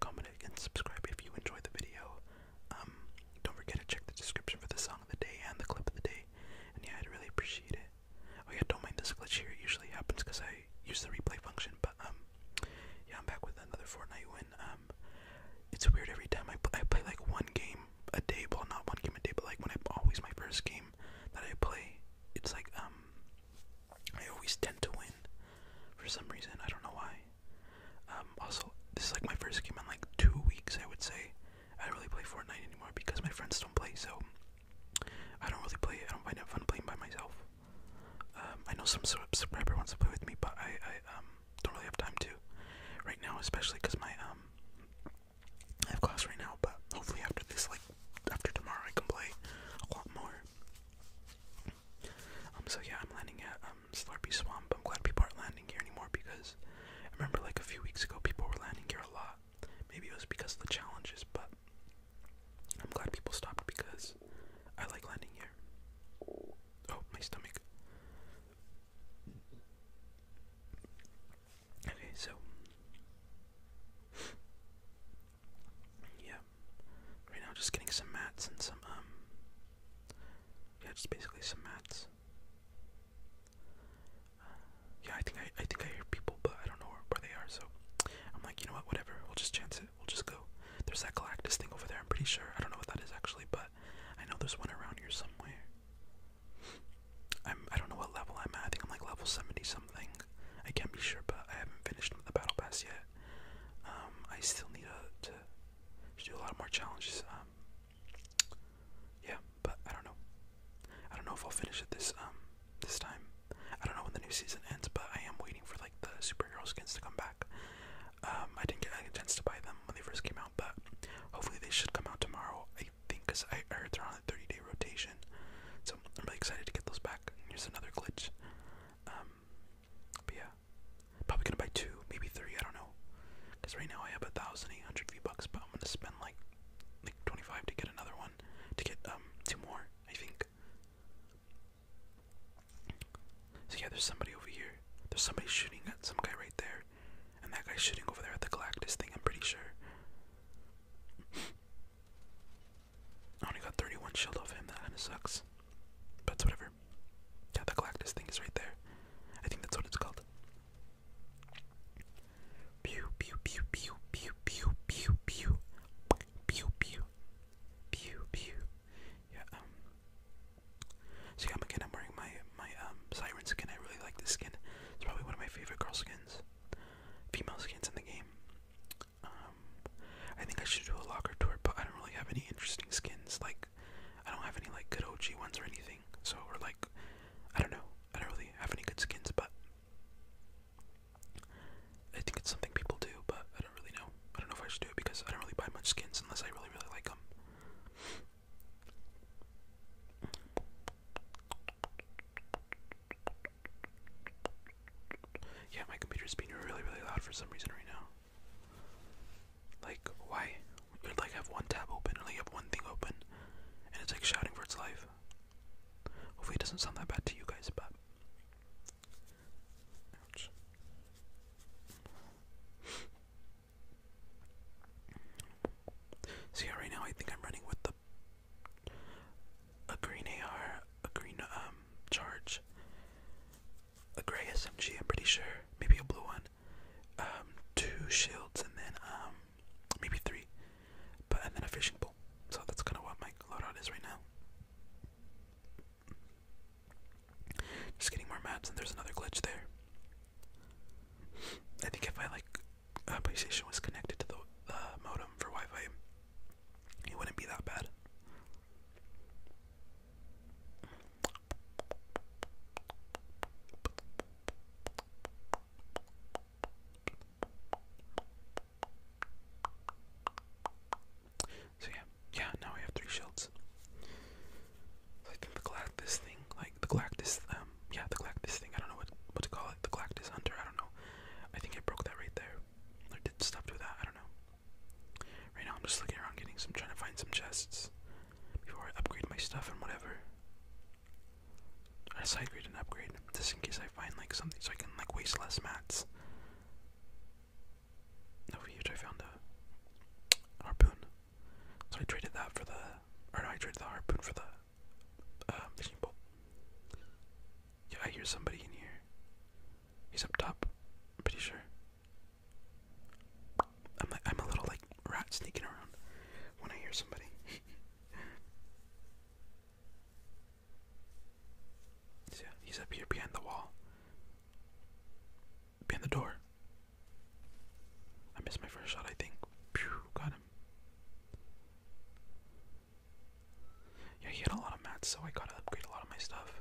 comment, and subscribe if you enjoyed the video. Um, don't forget to check the description for the song of the day and the clip of the day. And yeah, I'd really appreciate it. Oh yeah, don't mind this glitch here. It usually happens because I use the replay function. But um, yeah, I'm back with another Fortnite win. Um, it's weird every time I I play like one game a day. Well, not one game a day, but like when I always my first game that I play, it's like I always tend to win for some reason. I don't know why. Um, also, this is like my first game in like two weeks, I would say. I don't really play Fortnite anymore because my friends don't play, so I don't really play I don't find it fun playing by myself. Um, I know some subscriber wants to play with me, but I, I um, don't really have time to right now, especially because my um, I have class right now. But hopefully, after this, like after tomorrow, I can play a lot more. Um, so yeah, I'm landing at um, Slurpee Swamp. I'm glad people aren't landing here anymore because I remember like a few weeks ago people were landing here a lot. Maybe it was because of the challenges, but I'm glad people stopped because I like landing here. Oh, my stomach. Okay, so yeah, right now just getting some mats and some um yeah just basically some mats uh, yeah I think I, I think I hear people but I don't know where, where they are so I'm like you know what whatever we'll just chance it we'll just go there's that Galactus thing over there I'm pretty sure I don't know what that is actually but I know there's one around here somewhere I'm I don't know what level I'm at I think I'm like level 70 something I can't be sure but I haven't finished the battle pass yet um, I still need uh, to, do a lot more challenges. Um, yeah, but I don't know. I don't know if I'll finish it this um, this time. I don't know when the new season ends, but I am waiting for like the superhero skins to come back. I didn't get a chance to buy them when they first came out, but hopefully they should come out tomorrow. I think because I heard they're on a 30-day rotation, so I'm really excited to get those back. Here's another glitch but yeah, probably gonna buy two, maybe three. I don't know, cause right now I have a thousand eight hundred V bucks, but I'm gonna spend like like twenty five to get another one, to get um two more. I think. So yeah, there's somebody over here. There's somebody shooting at some guy right there, and that guy's shooting over there at the Galactus thing. I'm pretty sure. I only got 31 shield off him. That kind of sucks. But it's whatever. Yeah, the Galactus thing is right there. I think that's what it's called. Pew pew pew pew pew pew pew pew pew pew pew pew. Yeah. Um, so yeah, again. I'm wearing my my um siren skin. I really like this skin. It's probably one of my favorite girl skins, female skins in the game. Um, I think I should do a locker tour, but I don't really have any interesting skins. Like, I don't have any like good OG ones or anything. So, we're like, I don't know. I don't really have any good skins, but I think it's something people do. But I don't really know. I don't know if I should do it because I don't really buy much skins unless I really really like them. Yeah, my computer's being really, really loud for some reason right now. Like, why? You like have one tab open, or have one thing open, and it's like shouting for its life. Hopefully, it doesn't sound that bad to you guys, but. See, right now I think I'm running with the a green AR, a green um charge, a gray SMG, I'm pretty sure, maybe a blue one, um, two shields, and then um, maybe three, but and then a fishing pole. So that's kind of what my loadout is right now. Just getting more mats, and there's another glitch there. I think if I like PlayStation was connected to the modem for Wi-Fi, it wouldn't be that bad. So yeah, yeah, now we have three shields. I think the Galactus thing, like the Galactus, um, yeah, the Galactus thing, I don't know what, what to call it, the Galactus Hunter, I don't know. I think I broke that right there. Or did stuff do that, I don't know. Right now I'm just looking around getting some trying to find some chests before I upgrade my stuff and whatever. I side grade and upgrade just in case I find like something so I can like waste less mats. Over here I found a harpoon. So I traded that for the no I traded the harpoon for the um, fishing pole. Yeah, I hear somebody in here. He's up top, pretty sure. I'm a little like rat sneaking around when I hear somebody. yeah, he's up here behind the wall. Behind the door. I missed my first shot, I think. Pew, got him. Yeah, he had a lot of mats, so I gotta upgrade a lot of my stuff.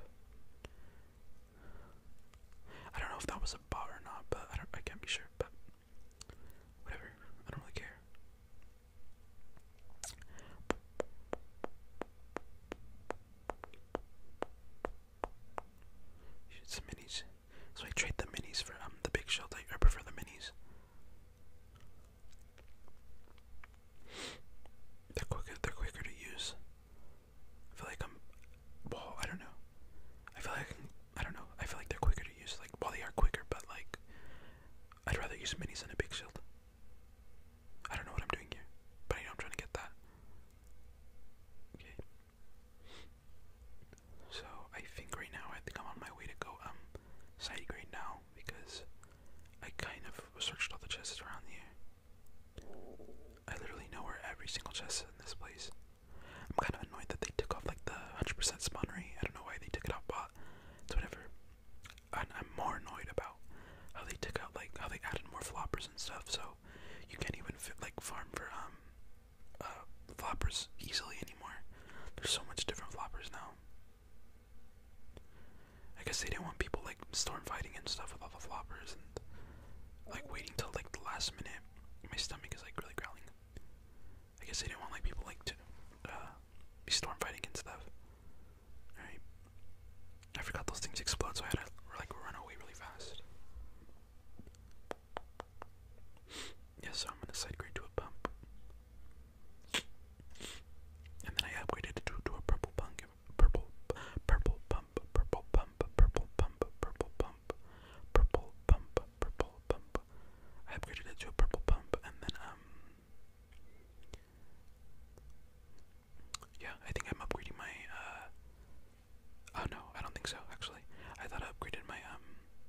I don't know if that was a bot or not, but I can't be sure, but whatever. I don't really care. Shoot some minis. So I trade the minis for um the big shield. I, I prefer the minis. They're quicker. They're quicker to use. I feel like I'm, well, I don't know. I feel like I, can, I don't know. I feel like they're quicker to use. Like, while they are quicker, but like, I'd rather use minis than a big shield. I don't know what I'm doing here, but I know I'm trying to get that. Okay. So I think right now I think I'm on my way to go um side grade now because I kind of searched all the chests around here. I literally know where every single chest is in this place. I'm kind of annoyed that they took off like the 100% spawn rate. I don't know why they took it off, but it's whatever. I'm more annoyed about how they took out like how they added more floppers and stuff, so you can't even fit, like farm for um uh floppers easily anymore. There's so much different floppers now. I guess they didn't want people like storm fighting and stuff with all the floppers and like waiting till like the last minute. My stomach is like really growling. I guess they didn't want like people like to uh, be storm fighting and stuff. Alright. I forgot those things explode, so I had to like run away really fast. Yeah, so I'm gonna sidegrade to a pump. And then I upgraded to, to a purple punk purple, purple pump, purple pump, purple pump, purple pump, purple pump, purple pump. I upgraded it to a purple pump, and then um, yeah, I think I'm upgrading my uh. Oh no, I don't think so. Actually, I thought I upgraded my um.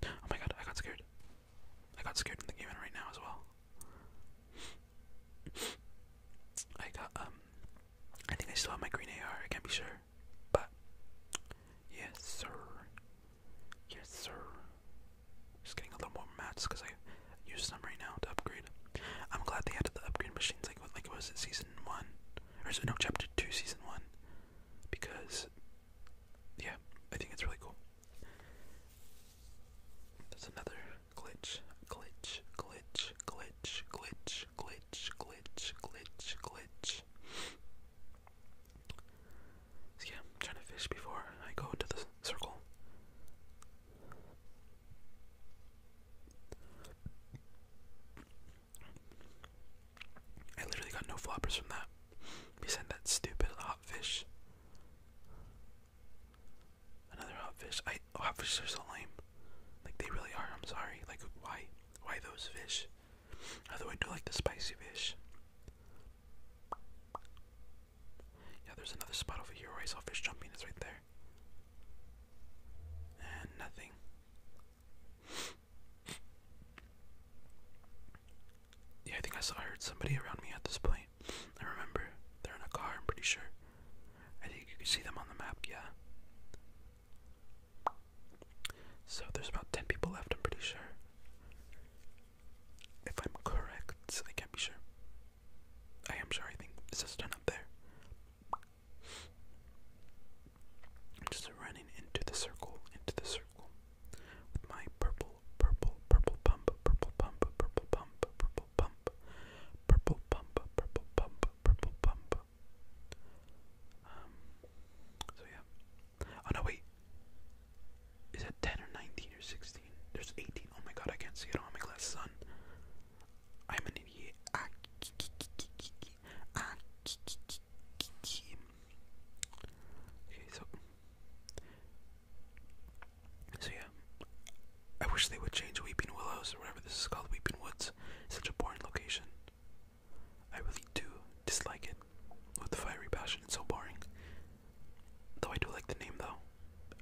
Oh my god, I got scared. I got scared in the game, right now as well. I got um. I think I still have my green AR, I can't be sure. But yes sir. Yes sir. Just getting a little more mats because I use them right now to upgrade. I'm glad they added the upgrade machines like what like was it season one? Or no chapter two season one? Because yeah, I think it's really cool. That's another glitch, glitch, glitch, glitch, glitch, glitch, glitch, glitch, glitch. So yeah, I'm trying to fish before I go to the circle. I literally got no floppers from that. We sent that stupid hot fish. Another hot fish. I hot fish are so lame. Like they really are. I'm sorry. Like why? Why those fish? Although I do like the spicy fish. Yeah, there's another spot over here where I saw fish jumping. It's right there. And nothing. Yeah, I think I saw I heard somebody around me at this point. I remember they're in a car. I'm pretty sure. I think you can see them on the map, yeah. So there's about 10 people left, I'm pretty sure. If I'm correct, I can't be sure. I am sure, I think. It's just done up there. just running into the circle, into the circle. my purple, purple, purple pump, purple pump, purple pump, purple purple pump, purple pump, purple pump, purple pump. Um, so yeah. Oh no, wait. Is it 10 or 19 or 16? There's 18. Oh my god, I can't see it on my glasses on. I'm an idiot. Okay, so. So yeah. I wish they would change Weeping Willows or whatever this is called, Weeping Woods. It's such a boring location. I really do dislike it with the fiery passion. It's so boring. Though I do like the name though.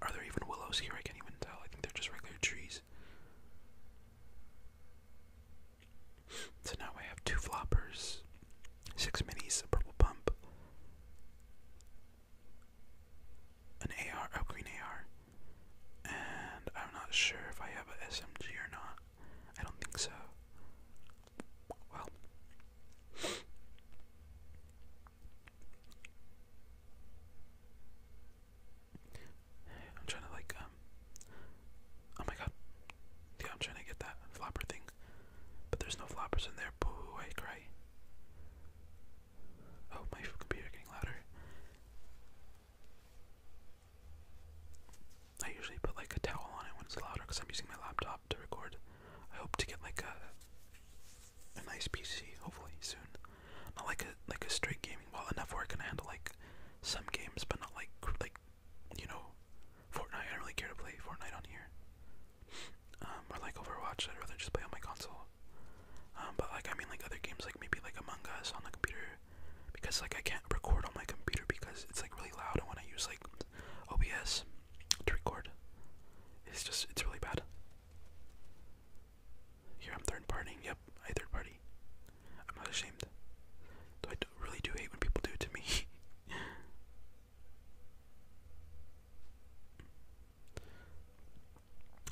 Are there even willows here? I can't even tell. I think they're just regular trees. So now I have two floppers, six minis, a purple pump, an AR, a oh, green AR, and I'm not sure if I have a SMG or not. I don't think so. Well, I'm trying to like um, Oh my god. Yeah, I'm trying to get that flopper thing, but there's no floppers in there. Boo! I cry. Oh, my computer getting louder. I usually put like a towel on it when it's louder because I'm using my laptop to record. I hope to get like a a nice PC hopefully soon. Not like a like a straight gaming. Well, enough where I can handle like some games, but not like like you know Fortnite. I don't really care to play Fortnite on here. Um, or like Overwatch. I'd rather just play on my console. Um, but like I mean like other games like maybe like Among Us on the computer because like I can't record on my computer because it's like really loud and when I use like OBS to record it's just it's really bad. Here I'm third partying, yep, third party. I'm not ashamed. Though I really do hate when people do it to me.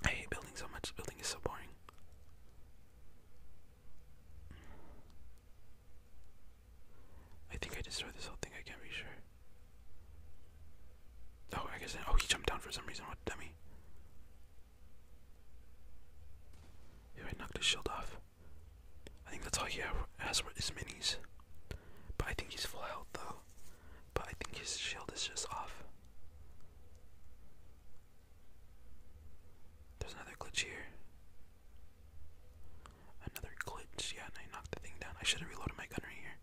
I hate building so much. Building is so boring. I think I destroyed this whole thing. I can't be sure. Oh, I guess. oh, he jumped down for some reason. What dummy? Yeah, I knocked his shield off. I think that's all he has is minis. But I think he's full health though. But I think his shield is just off. There's another glitch here. Another glitch, yeah, and I knocked the thing down. I should have reloaded my gun right here.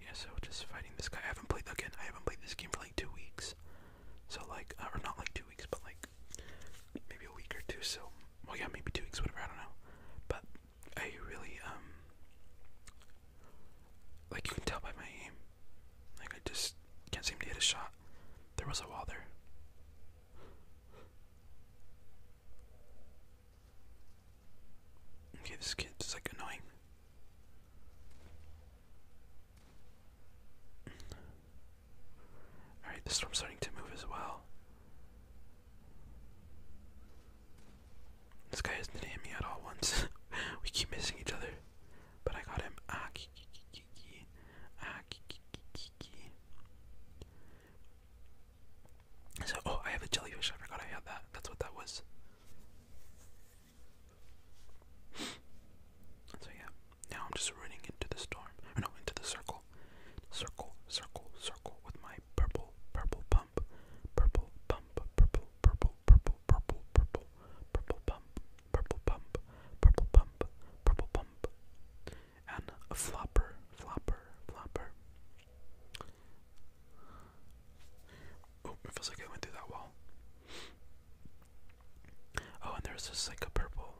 Yeah, so just fighting this guy. I haven't played again. I haven't played this game for like two weeks. So like, uh, or not like two weeks, but like maybe a week or two. So well, yeah, maybe two weeks, whatever. I don't know. But I really um, like you can tell by my aim. Like I just can't seem to hit a shot. There was a wall there. Okay, this kid's like annoying. Alright, the storm's starting to move as well. This guy hasn't hit me at all once. we keep missing each other. But I got him. Ah, ki ki ki ki. Ah, ki ki ki ki. So, oh, I have a jellyfish. I forgot I had that. That's what that was. so, yeah. Now I'm just running into the storm. Or no, into the circle. Circle, circle, circle with my purple, purple pump, purple pump, purple, purple, purple, purple, purple, purple pump, purple pump, purple pump, purple pump, and a flopper, flopper, flopper. Oh, it feels like I went through that wall. Oh, and there's this like a purple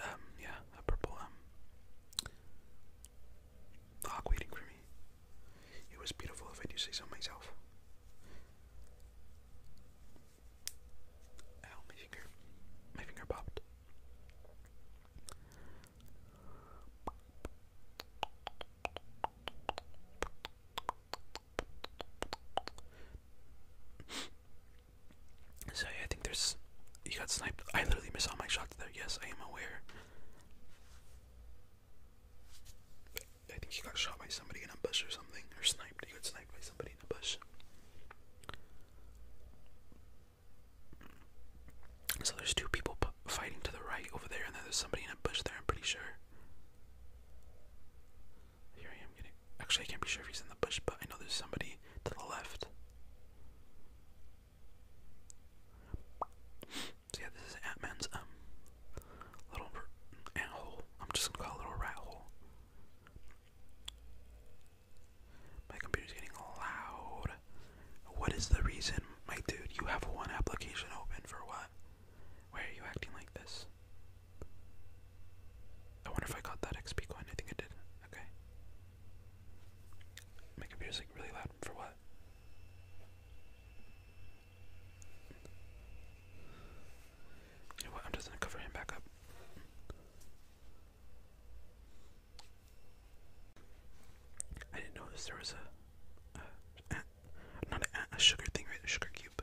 um, yeah, a purple, um, hawk waiting for It was beautiful if I do say so myself. Ow, my finger. My finger popped. So yeah, I think there's you got sniped. I literally missed all my shots there. Yes, I am aware. I think you got shot by somebody in a bush or something, or sniped. You got sniped by somebody in a bush. So there's two people fighting to the right over there, and then there's somebody in a bush there. I'm pretty sure. Here I am getting. Actually, I can't be sure if he's in the bush, but I know there's somebody to the left. So yeah, this is ant um little ant hole. I'm just gonna call a little rat hole. My computer's getting loud. What is the reason, my dude? You have one application open for what? Why are you acting like this? I wonder if I got that XP coin. I think I did. Okay. Make computer's music really loud for what? You know what? I'm just gonna cover him back up. I didn't notice there was a, not a sugar thing, right? A sugar cube.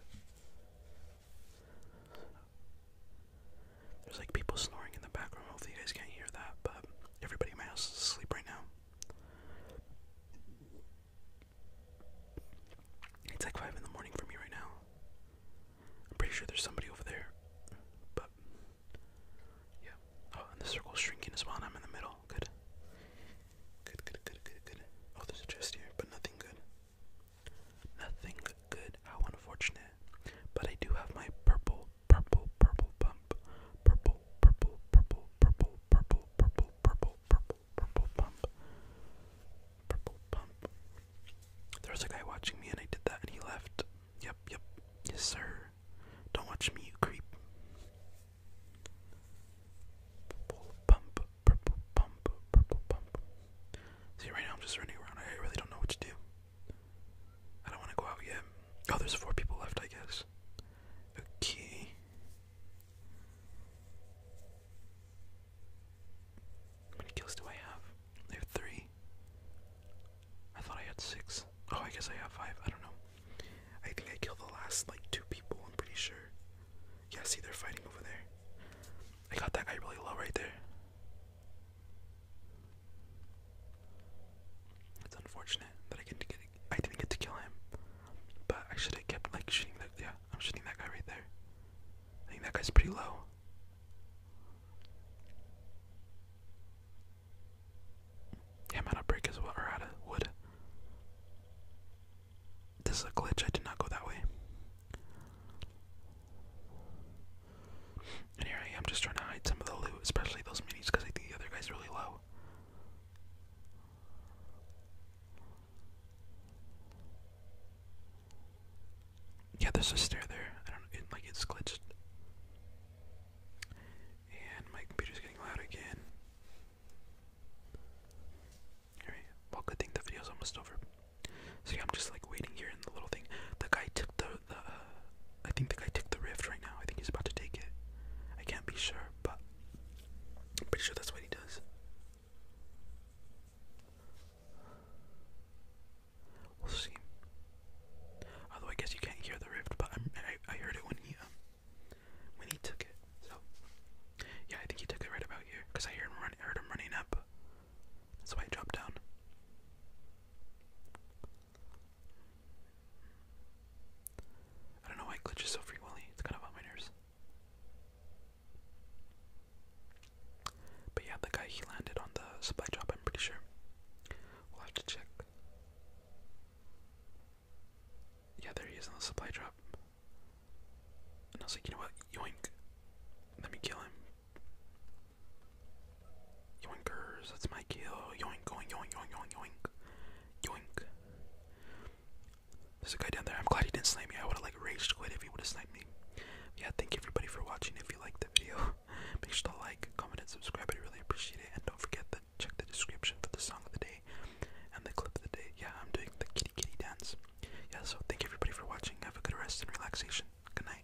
There's like people snoring in the background. Hopefully, you guys can't hear that, but everybody in my house is asleep right now. It's like 5 in the morning for me right now. I'm pretty sure there's somebody over there, but yeah. Oh, and the circle's shrinking as well, and I'm in the middle. Good. Good, good, good, good, good. Oh, there's a chest here, but nothing good. Nothing good. How unfortunate. But I do have my purple purple, purple pump, purple, purple, purple, purple, purple, purple, purple, purple, purple pump, purple pump. There was a guy watching me and I did that and he left. Yep, yep, yes sir. Don't watch me, you creep. Purple pump, purple pump, purple pump. See, right now I'm just running around. I really don't know what to do. I don't want to go out yet. Oh, there's four people left, I guess. Okay. How many kills do I have? I have three. I thought I had six. Oh, I guess I have five. I don't know. I think I killed the last, like, two people, I'm pretty sure. Yeah, see, they're fighting over there. I got that guy really low right there. It's unfortunate that I didn't get to kill him, but I should have kept like shooting that. Yeah, I'm shooting that guy right there. I think that guy's pretty low. Yeah, I'm out of brick as well, or out of wood. This is a glitch. I did not go that way. And here I am just trying to hide some of the loot, especially those minis, because I think the other guy's really low. Yeah, there's a stair there. I don't like it's glitched. And my computer's getting loud again. Alright, well, good thing the video's almost over. So yeah, I'm just like waiting here in the little thing. The guy took the the, I think the guy took the rift right now. I think he's about to take it. I can't be sure, but I'm pretty sure that's what he does. We'll see. Although I guess you can't hear the rift, but i I heard it when he um, when he took it. So yeah, I think he took it right about here because I heard him run, heard him running up. That's why I dropped down. I don't know why it glitches so frequently. It's kind of on my nerves. But yeah, the guy he landed on the supply drop, I'm pretty sure. We'll have to check. Yeah, there he is on the supply drop. And I was like, you know what? Yoink. Let me kill him Yoinkers, that's my kill. Yoink, yoink, yoink, yoink, yoink, yoink. There's a guy down there. I'm glad he didn't snipe me. I would have like raged quit if he would have sniped me. Yeah, thank you everybody for watching. If you liked the video, make sure to like, comment, and subscribe. I really appreciate it. And don't forget to check the description for the song of the day and the clip of the day. Yeah, I'm doing the kitty kitty dance. Yeah, so thank you everybody for watching. Have a good rest and relaxation. Good night.